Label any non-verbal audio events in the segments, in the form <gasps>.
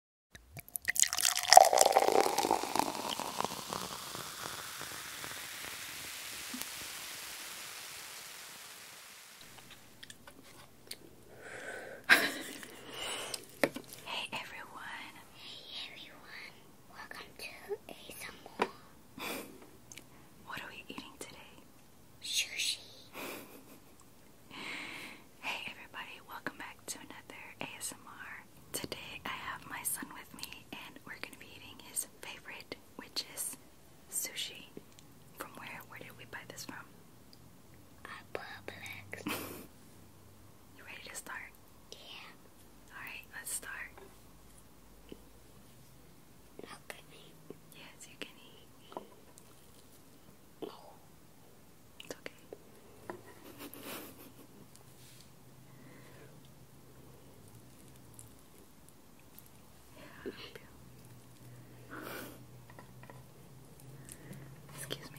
hey everyone. Hey everyone. Welcome to ASMR. what are we eating today? Sushi hey everybody, welcome back to another ASMR. Today I have my son with me and we're gonna be eating his favorite, which is sushi. From where? Where did we buy this from? Publix. <laughs> you ready to start? Yeah. Alright, let's start. i Yes, you can No. It's okay. Yeah, <laughs> Excuse me.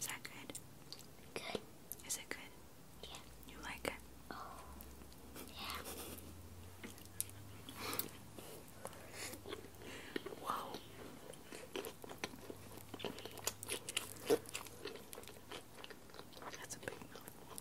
Is that good? Good. Is it good? Yeah. You like it? Oh. Yeah. Whoa. That's a big mouthful.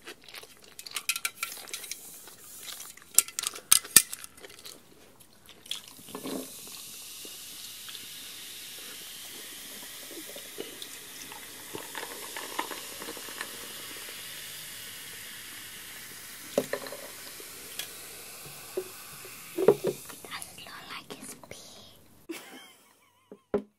Does it look like his pee? <laughs>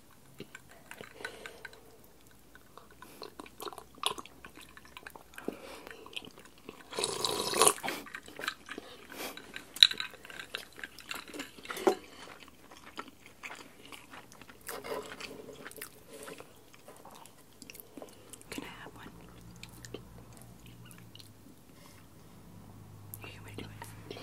Can I have one? Here, you want to do it?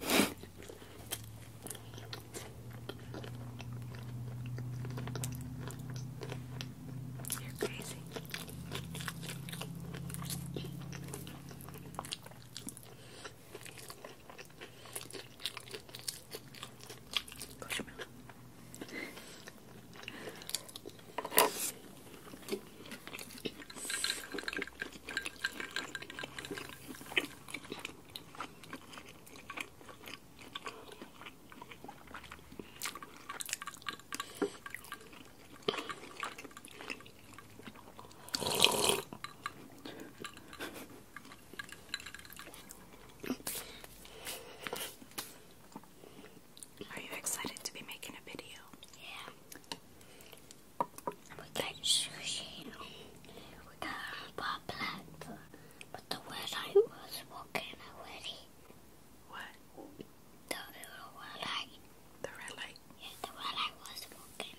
You're crazy. Close your mouth. Are you excited to be making a video? Yeah. We got sushi. We got Bob Black. But the word I was walking already. What? The little red light. The red light? Yeah, the red light was walking.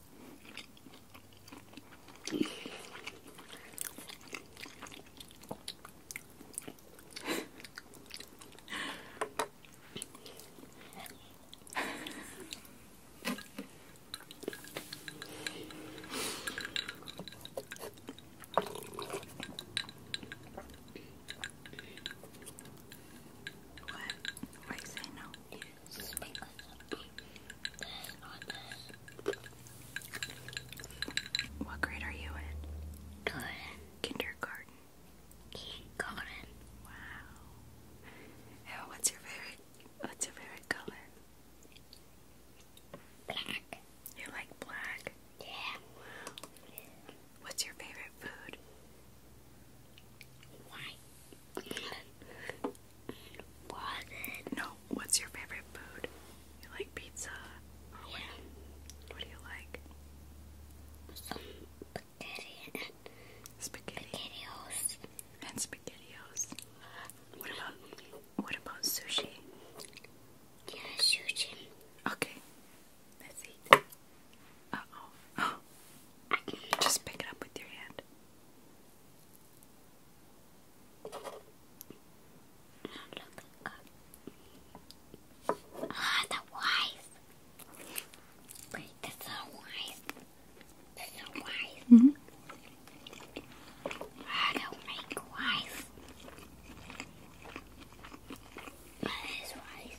What? Why say no? What grade are you in? Kindergarten. Kindergarten. Wow. what's your favorite? What's your favorite color? Black. You like black? Yeah. Wow. What's your favorite food? White. No, what's your favorite food? You like pizza? what, do you like? spaghetti. Spaghetti. Spaghettios. And spaghettios. Uh, what about what about sushi? Yeah, sushi. Okay. Let's eat. Uh oh. <gasps> Just pick it up with your hand. Look up. Ah, the wise. Wait, mm-hmm. ah, the so wise. The so wise. Mm I don't make wise. That is wise.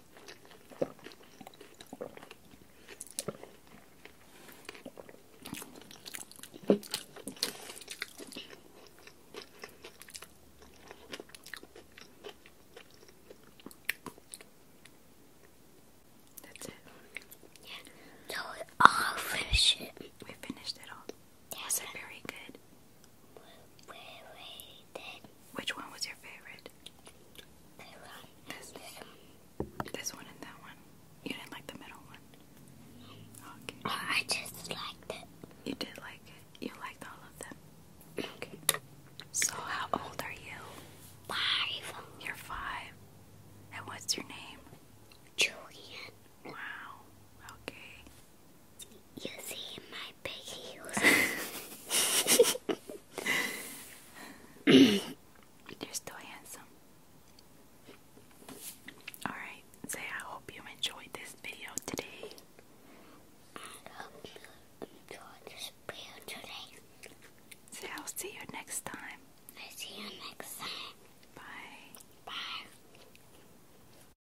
That's it. Yeah. So I'll finish it. We finished it all. Yeah, was very good? Which one was your favorite? This, this one and that one. You didn't like the middle one. I just liked it. You did like it. You liked all of them. Okay. So how old are you? Five. You're five. And what's your name? Julian. Wow. Okay. You see my big heels. <laughs> You're still handsome. Alright, say I hope you enjoyed this video today. I hope you enjoyed this video today. Say I'll see you next time. I'll see you next time. Bye. Bye.